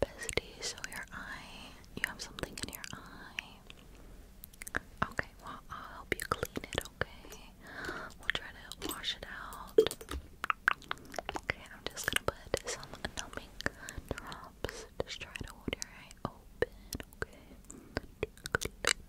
Bestie, so your eye, you have something in your eye. Okay, well, I'll help you clean it, okay? We'll try to wash it out. Okay, I'm just gonna put some numbing drops. Just try to hold your eye open, okay?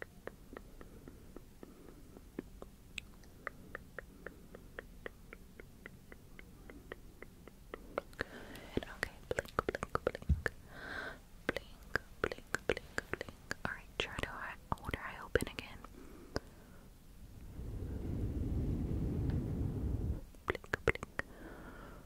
Good. Okay. Blink, blink, blink, blink, blink, blink, blink. All right. Try to hold her open again. blink, blink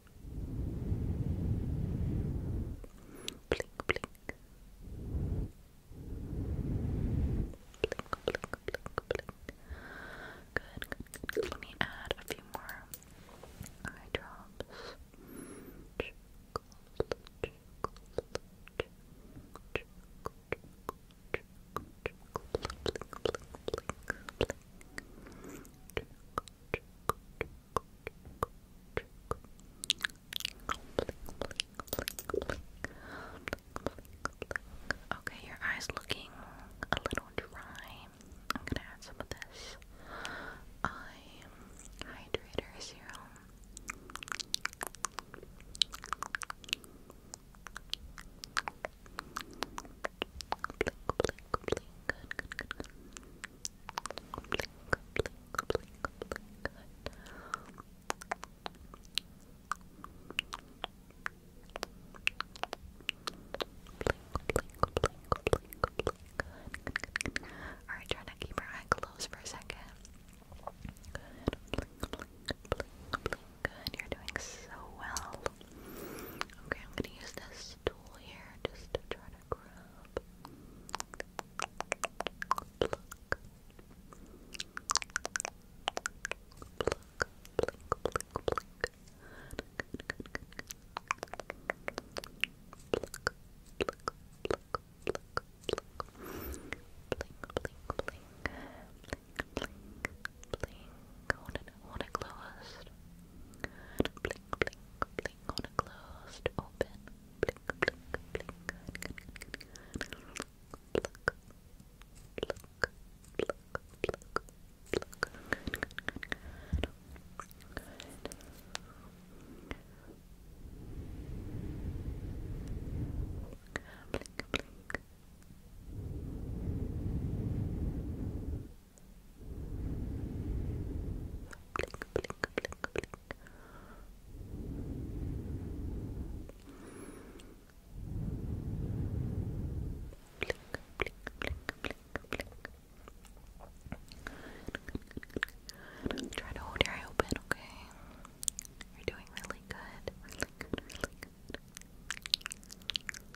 Blink, blink. Blink, blink, blink, Good, Let me add a few more eye drops. Okay, your eyes looking a little dry. I'm gonna add some of this eye hydrator serum. Alright, try to keep your eye closed for a second. You're doing so well. Okay, I'm gonna use this this tool here just try to grab. Pluck. Pluck, pluck, pluck, pluck. Pluck, pluck, pluck. Blink, blink, blink, blink, blink. Hold it, hold it closed. Blink, blink, blink, blink on a open, blink, blink, blink, Blink, blink. Blink, blink, blink, blink, blink, blink, blink, Blink, blink, blink, blink. Blink, blink, blink, blink, blink. Try to hold your eye open, okay? You're doing really good.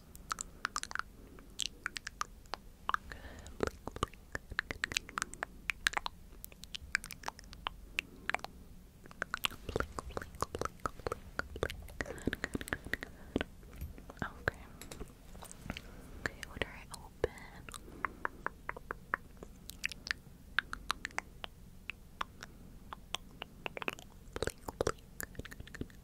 Okay. Okay, what do I open? Blink, blink. Good, good, good, good.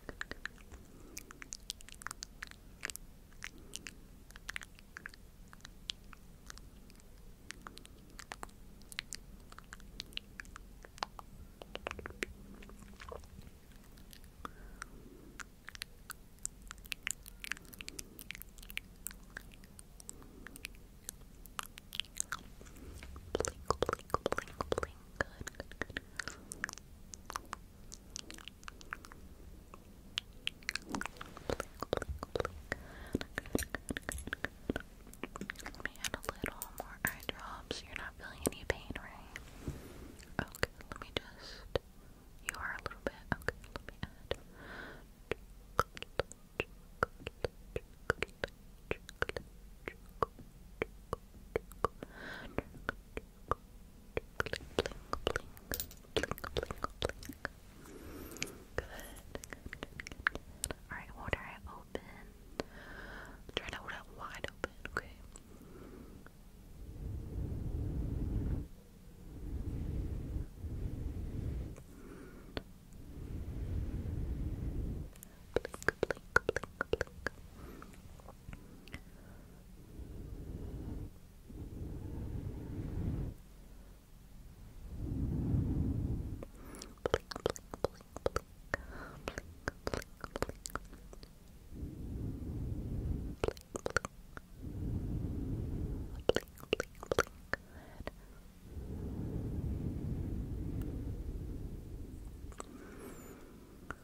Blink, blink, blink, blink. Good, good, good. Let me add a little more eye You're not feeling any pain, right? Okay, let me just. You are a little bit. Okay, let me add blink, blink, Alright, hold open. Try to hold it wide open, okay? Blink, blink, blink, blink, blink, blink, blink. Blink, blink. Blink, blink, blink. Good. Good. Blink,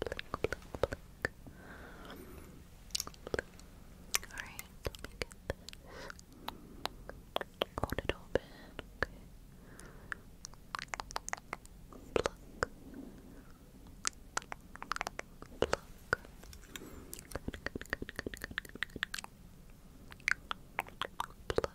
blink, blink. Alright, let me get this. Hold it open, okay. Pluck. Pluck. Good, good, good, good, good. Pluck.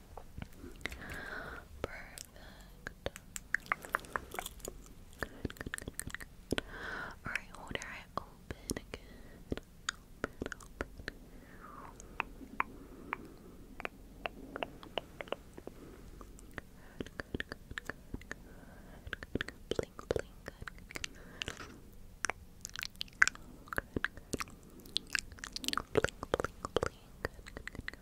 Perfect. Good, Alright, hold your eye open again. Blink, blink, Blink,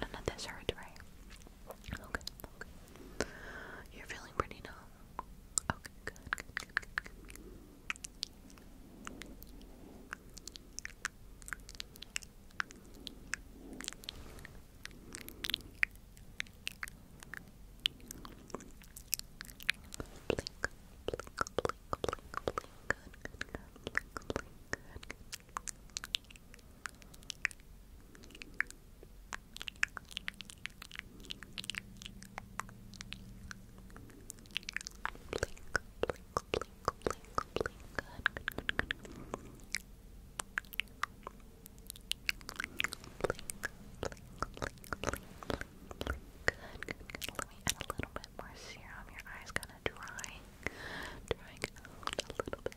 None of this hurts, right? okay. You're feeling pretty numb. Okay, good, good, good, good, good. Blink, blink, blink, blink, blink. Good, good, good. Blink, blink, good, good. Good, blink, blink, blink, blink. Good, good, good, good. Blink, blink, blink, blink, blink. Good, good, good. Let me add a little bit more serum. Your eye's gonna dry, drying out a little bit. Okay.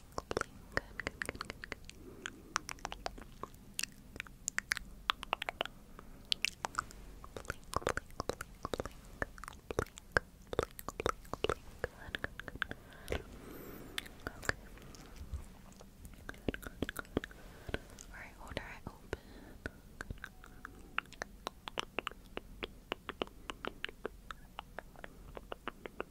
blink. Good, good, good, good, good. Blink, blink, blink, blink, blink, blink, blink, blink. Good, good, good. Okay. Good, good, good. Alright, hold her eye open. Good. Let me get a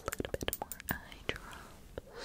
little bit more eye drops.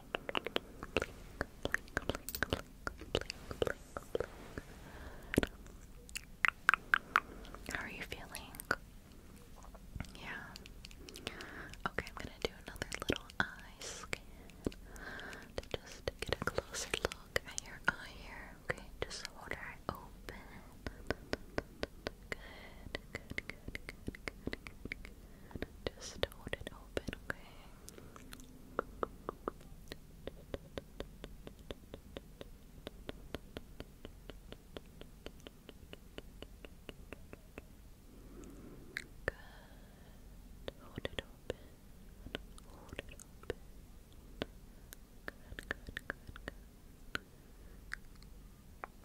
How are you feeling? Yeah. Okay, I'm gonna do another little eye scan to just get a closer look at your eye Okay, just hold her open. good, good, good, good, good. Just hold it open, okay? Good. Hold it open. Hold it open. Good, good, good,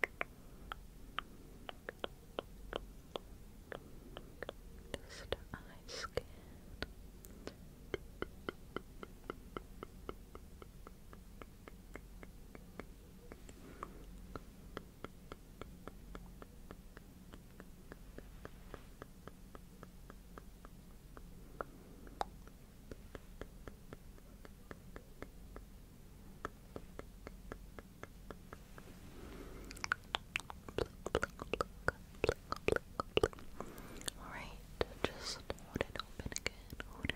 good. Just eye Alright, just hold it again. Hold it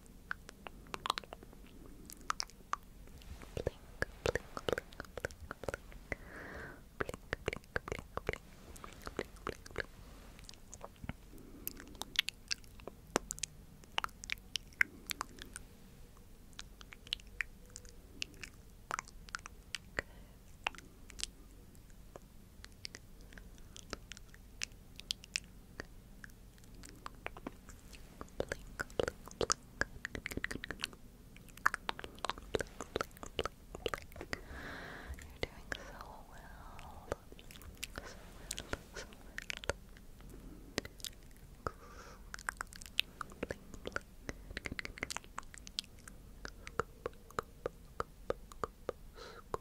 blink, blink, blink, blink. Blink, blink, blink, blink. Blink, blink, blink. Okay blink, blink, blink. You're doing so well. So well, so well. Blink, blink. Scoop, scoop, scoop, Hold her okay.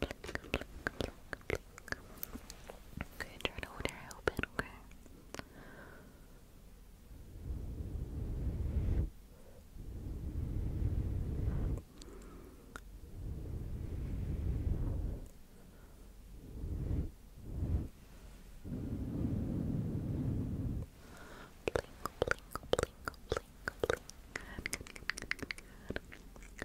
Pluck, pluck, Okay, try to hold open, okay?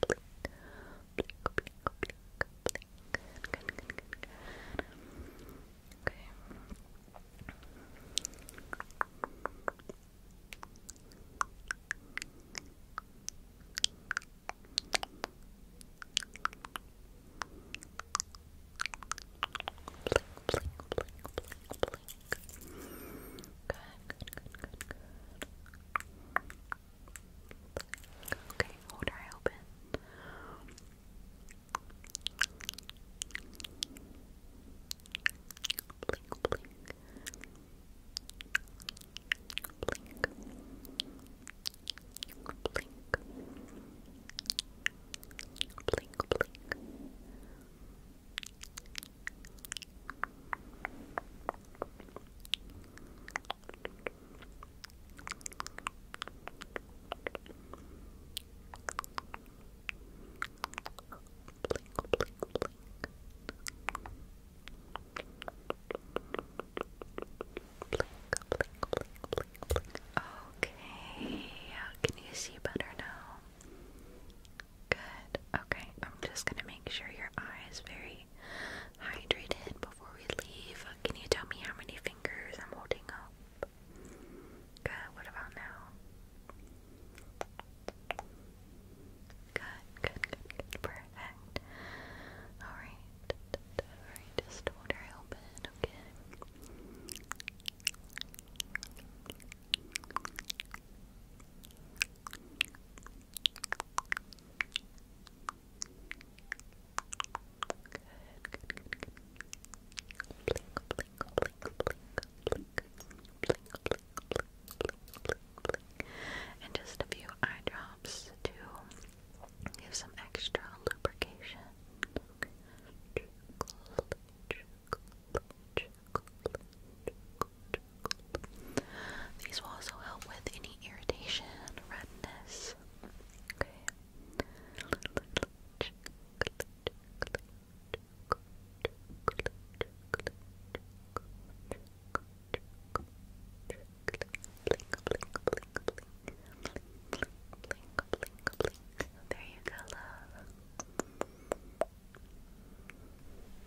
blink, blink, blink, blink, blink. Good, good, good, good. Okay. Blink, blink, blink, blink, blink. Good, good, good, good, good. Okay, hold her open. Blink, blink. Blink. Blink. Blink, blink. Blink, Okay, can you see better now? Good. Okay, I'm just gonna make sure your eye is very hydrated before we leave. Can you tell me how many fingers I'm holding up? Good, what about now? Good, good, good, perfect. Alright, alright, just hold her open, okay? And just a few eye drops to give some extra lubrication. Trickle, trickle, trickle, trickle, these will also help with any irritation, redness. Okay. There you go,